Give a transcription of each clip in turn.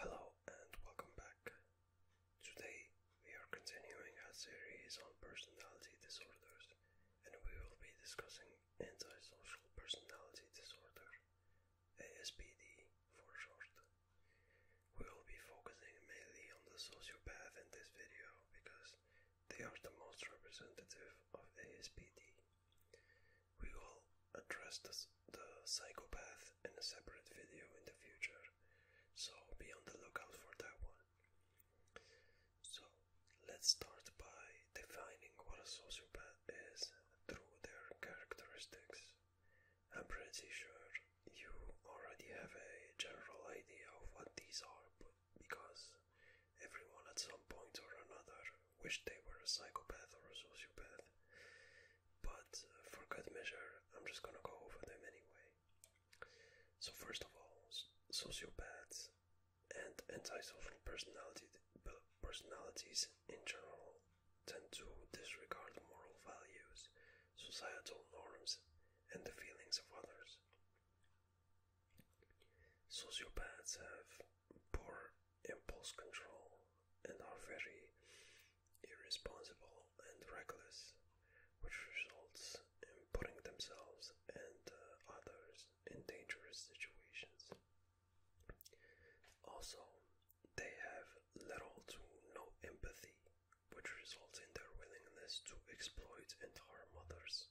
Hello and welcome back. Today we are continuing our series on personality disorders, and we will be discussing antisocial personality disorder, ASPD for short. We will be focusing mainly on the sociopath in this video because they are the most representative of ASPD. We will address the, the psychopath in a separate video in the future, so be on the lookout for that one. So let's start by defining what a sociopath is through their characteristics. I'm pretty sure you already have a general idea of what these are because everyone at some point or another wished they were a psychopath or a sociopath. But uh, for good measure, I'm just gonna go over them anyway. So first of all, sociopaths and antisocial personalities in general tend to disregard moral values, societal norms, and the feelings of others. Sociopaths have poor impulse control and are very irresponsible and reckless, which results in putting themselves and uh, others in dangerous situations. Also, they have little to no empathy, which results in their willingness to exploit and harm others,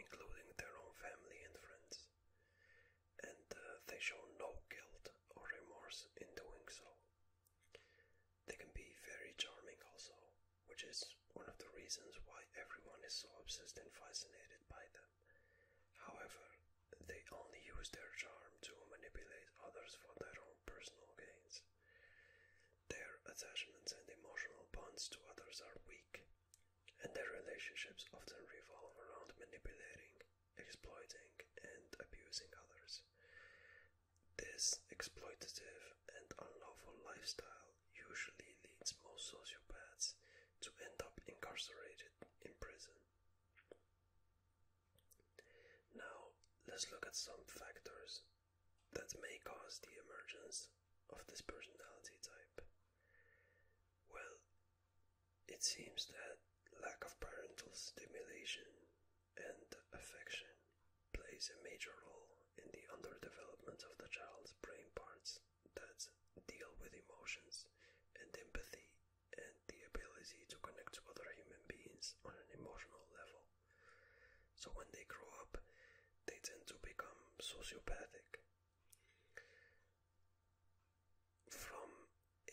including their own family and friends. And uh, they show no guilt or remorse in doing so. They can be very charming also, which is one of the reasons why everyone is so obsessed and fascinated by them. However, they only use their charm to manipulate others for their own personal gains. Their attachments and emotional bonds to others are weak, and their relationships often revolve around manipulating, exploiting, and abusing others. This exploitative and unlawful lifestyle usually leads most sociopaths to end up incarcerated in prison. Now, let's look at some factors that may cause the emergence of this personality type. Well, it seems that lack of parental stimulation and affection plays a major role in the underdevelopment of the child's brain parts that deal with emotions and empathy and the ability to connect to other human beings on an emotional level. So when they grow up, they tend to become sociopathic. From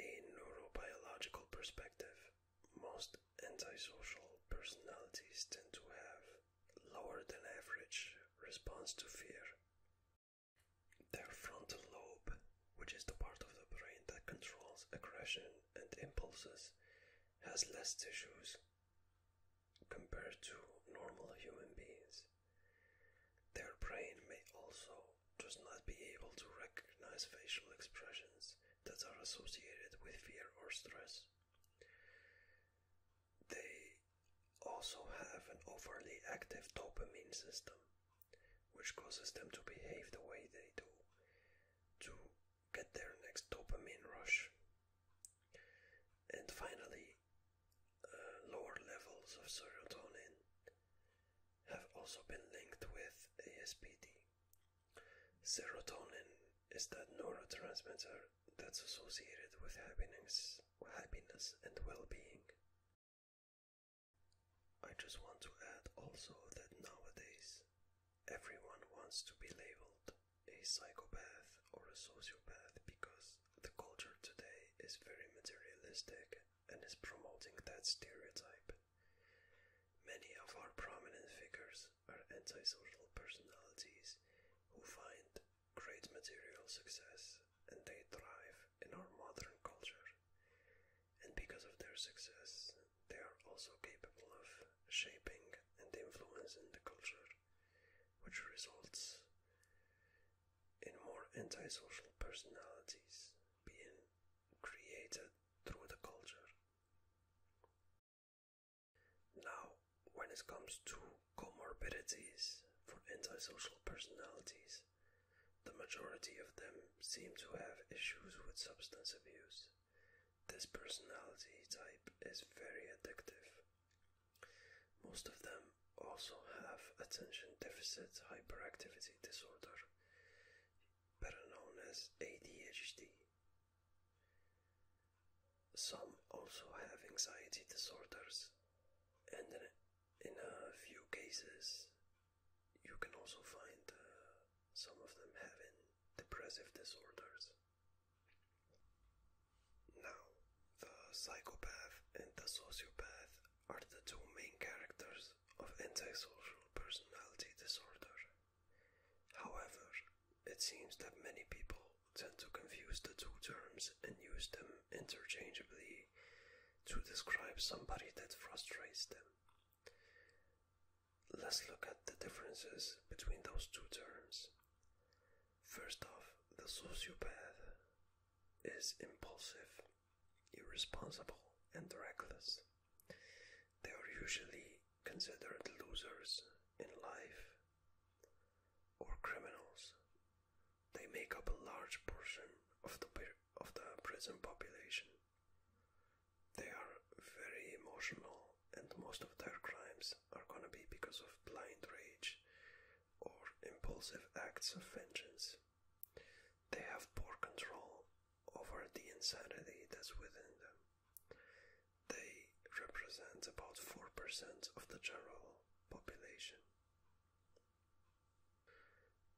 a neurobiological perspective, most antisocial personalities tend to have lower than average response to fear. Their frontal lobe, which is the part of the brain that controls aggression and impulses, has less tissues compared to normal human beings. Their brain may also just not be able to recognize facial expressions that are associated with fear or stress. They also have an overly active dopamine system, which causes them to behave the way they do to get their next dopamine rush. And finally, uh, lower levels of serotonin have also been linked with ASPD, Serotonin is that neurotransmitter that's associated with happiness, happiness and well-being. I just want to add also that nowadays everyone wants to be labeled a psychopath or a sociopath because the culture today is very materialistic and is promoting that stereotype. Many of our prominent figures are antisocial personalities who find great material success and they thrive in our modern culture. And because of their success, they are also capable of shaping and influencing the culture, which results in more antisocial personalities being created through the culture. Now, when it comes to comorbidities for antisocial personalities, the majority of them seem to have issues with substance abuse. This personality type is very addictive. Most of them also have attention deficit hyperactivity disorder, better known as ADHD. Some also have anxiety disorders, and in a few cases, you can also find uh, some of them having depressive disorders. Now, the psychopath and the sociopath are the two main characters of antisocial personality disorder. However, it seems that many people tend to confuse the two terms and use them interchangeably to describe somebody that frustrates them. Let's look at the differences between those two terms. First off, the sociopath is impulsive irresponsible, and reckless. They are usually considered losers in life or criminals. They make up a large portion of the, of the prison population. They are very emotional, and most of their crimes are gonna be because of blind rage or impulsive acts of vengeance. They have poor control over the insanity that's within them. They represent about 4% of the general population.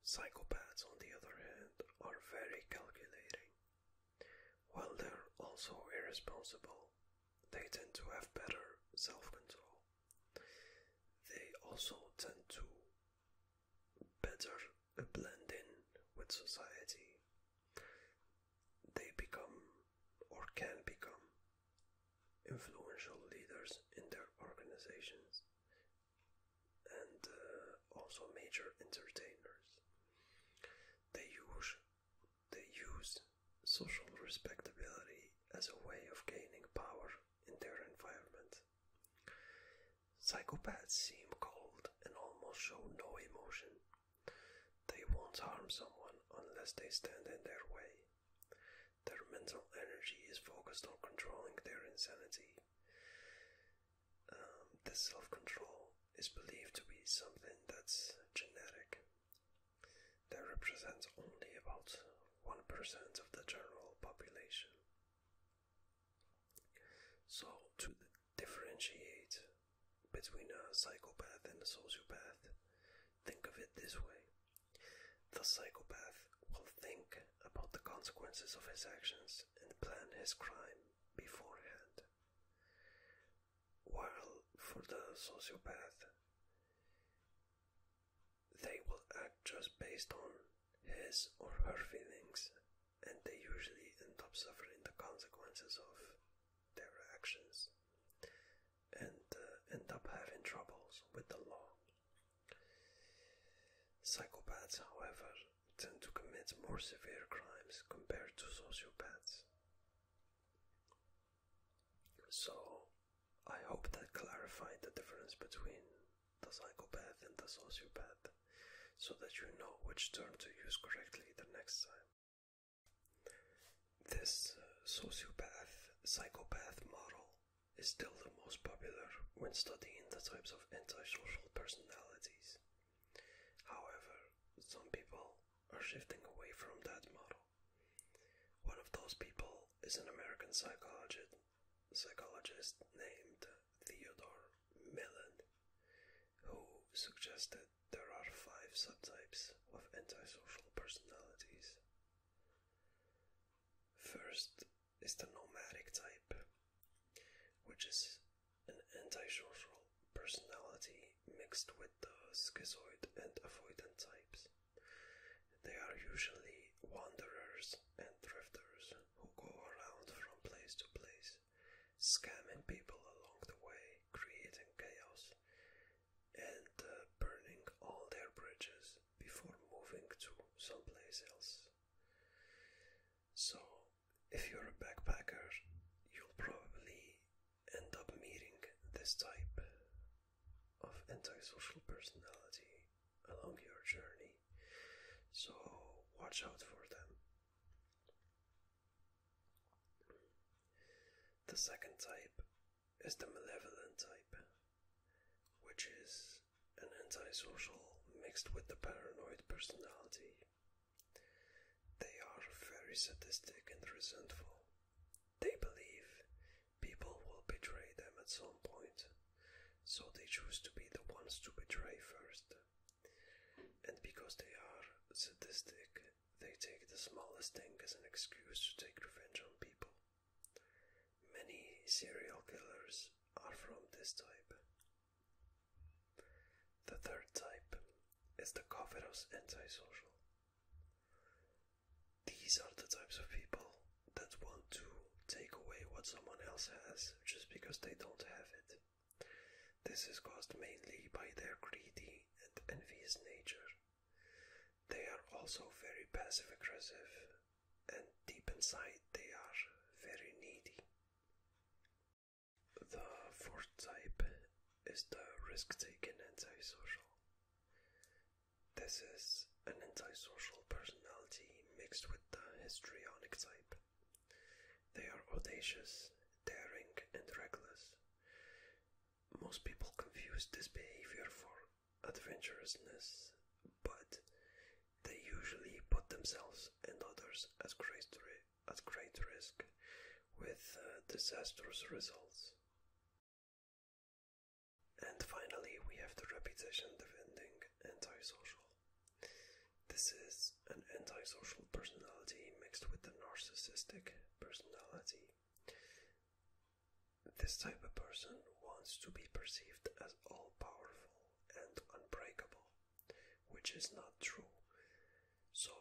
Psychopaths, on the other hand, are very calculating. While they're also irresponsible, they tend to have better self control. They also tend to better blend in with society, they become or can become influential leaders in their organizations and uh, also major entertainers. They use, they use social respectability as a way of gaining power in their environment. Psychopaths seem cold and almost show no emotion. They won't harm someone unless they stand in their way. Their mental energy is focused on controlling their insanity. Um, this self control is believed to be something that's genetic. That represents only about 1% of the general population. So, to differentiate between a psychopath and a sociopath, think of it this way the psychopath will think about the consequences of his actions and plan his crime beforehand, while for the sociopath, they will act just based on his or her feelings, and they usually end up suffering the consequences of their actions and uh, end up having troubles with the law. Psychopaths, however, tend to commit more severe crimes compared to sociopaths. So, I hope that clarified the difference between the psychopath and the sociopath so that you know which term to use correctly the next time. This uh, sociopath psychopath model is still the most popular when studying the types of antisocial personalities. However, some people are shifting away from that model. One of those people is an American psychologist, named Theodore Millon, who suggested there are five subtypes of antisocial personalities. First is the nomadic type, which is an antisocial personality mixed with the schizoid and avoidant types. They are usually wanderers and drifters who go around from place to place, scamming people along the way, creating chaos, and uh, burning all their bridges before moving to someplace else. So, if you're a backpacker, you'll probably end up meeting this type of antisocial personality along your journey. So watch out for them. The second type is the malevolent type, which is an antisocial mixed with the paranoid personality. They are very sadistic and resentful. They believe People will betray them at some point, so they choose to be the ones to betray first. And because they are sadistic, they take the smallest thing as an excuse to take revenge on people. Many serial killers are from this type. The third type is the covetous antisocial. These are the types of people that want to take away what someone else has just because they don't have it. This is caused mainly by their greedy and envious nature. They are also very passive aggressive, and deep inside, they are very needy. The fourth type is the risk taking antisocial. This is an antisocial personality mixed with the histrionic type. They are audacious, daring, and reckless. Most people confuse this behavior for adventurousness, but they usually put themselves and others at great, at great risk with uh, disastrous results. And finally, we have the reputation defending antisocial. This is an antisocial personality mixed with the narcissistic personality. This type of person wants to be perceived as all powerful and unbreakable, which is not true. So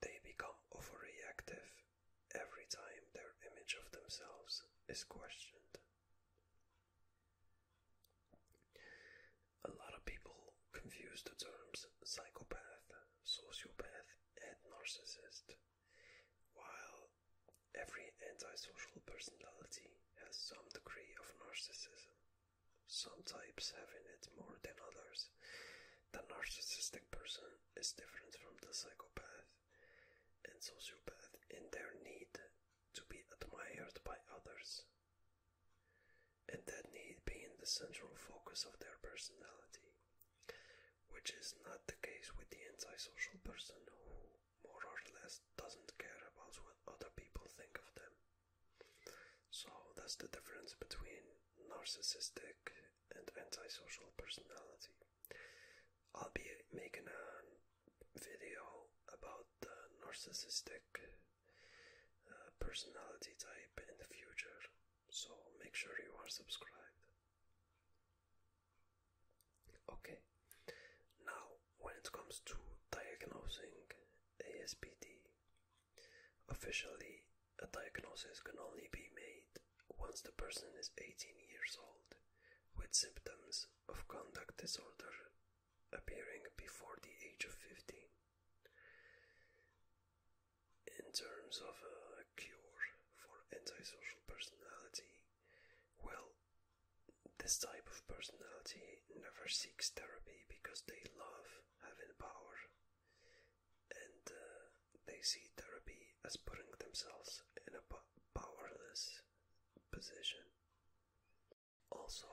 they become overreactive every time their image of themselves is questioned. A lot of people confuse the terms psychopath, sociopath, and narcissist, while every antisocial personality has some degree of narcissism. Some types have it more than others. The narcissistic person is different from the psychopath and sociopath in their need to be admired by others, and that need being the central focus of their personality, which is not the case with the antisocial person who more or less doesn't care about what other people think of them. So that's the difference between narcissistic and antisocial personality. I'll be making a video about the narcissistic uh, personality type in the future, so make sure you are subscribed. Okay, now when it comes to diagnosing ASPD, Officially, a diagnosis can only be made once the person is 18 years old, with symptoms of conduct disorder appearing before the age of 15. In terms of a cure for antisocial personality, well, this type of personality never seeks therapy because they love having power and uh, they see therapy as putting themselves in a powerless position. Also,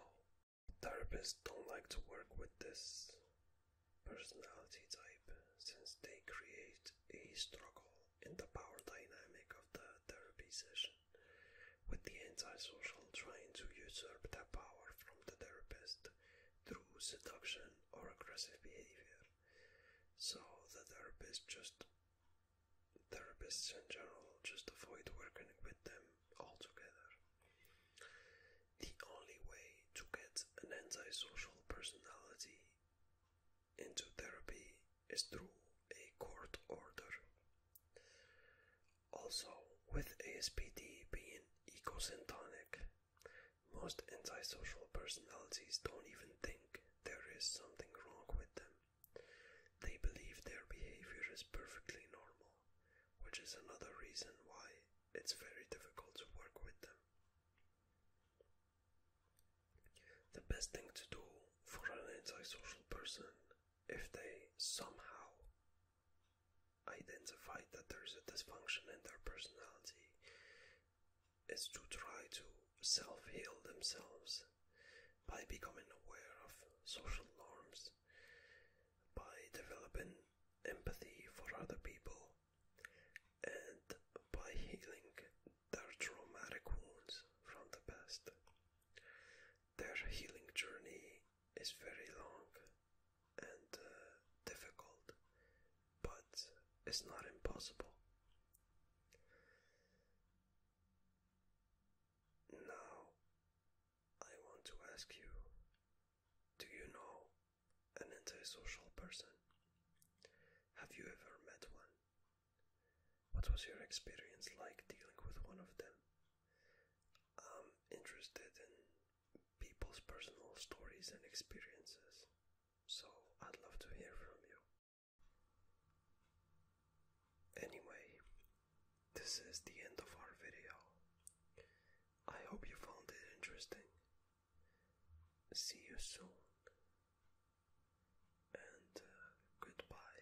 therapists don't like to work with this personality type since they create a struggle in the power dynamic of the therapy session, with the antisocial trying to usurp the power from the therapist through seduction or aggressive behavior. So the therapist just therapists in general just avoid working with them altogether. The only way to get an antisocial personality into therapy is through a court order. Also, with ASPD being egocentric, most antisocial personalities don't even think there is something wrong with them. They believe their behavior is perfectly normal, which is another reason why it's very difficult to work with them. The best thing to do for an antisocial person if they somehow identify that there is a dysfunction in their personality is to try to self heal themselves by becoming aware of social norms, by developing empathy for other people, and by healing their traumatic wounds from the past their healing journey is very long and uh, difficult, but it's not impossible. Now, I want to ask you do you know an antisocial person? Have you ever met one? What was your experience like dealing with one of them? I'm interested in people's personal stories and experiences, so I'd love to hear from you. Anyway, this is the end of our video. I hope you found it interesting. See you soon, and uh, goodbye.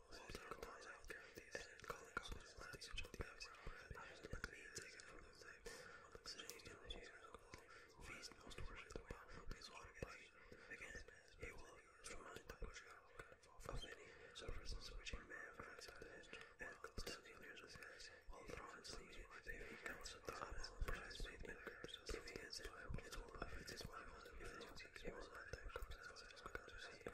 of many surfaces which he may have outside the history and constantly near the skies, while thrown slowly, paving counts of the apple, prize made men curse, giving his life, his whole life, his wife, if the music, he was not there, comes out, is good to see.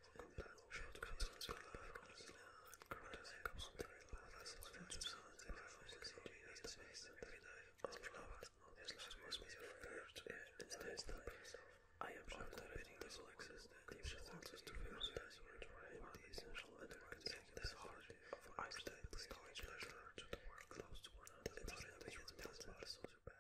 I am sure that reading this will exist deeper senses to feel that you are trying the essential and reconciling the heart of isolated storage pleasure to the world close to one another. It's not a human as well, sociopath.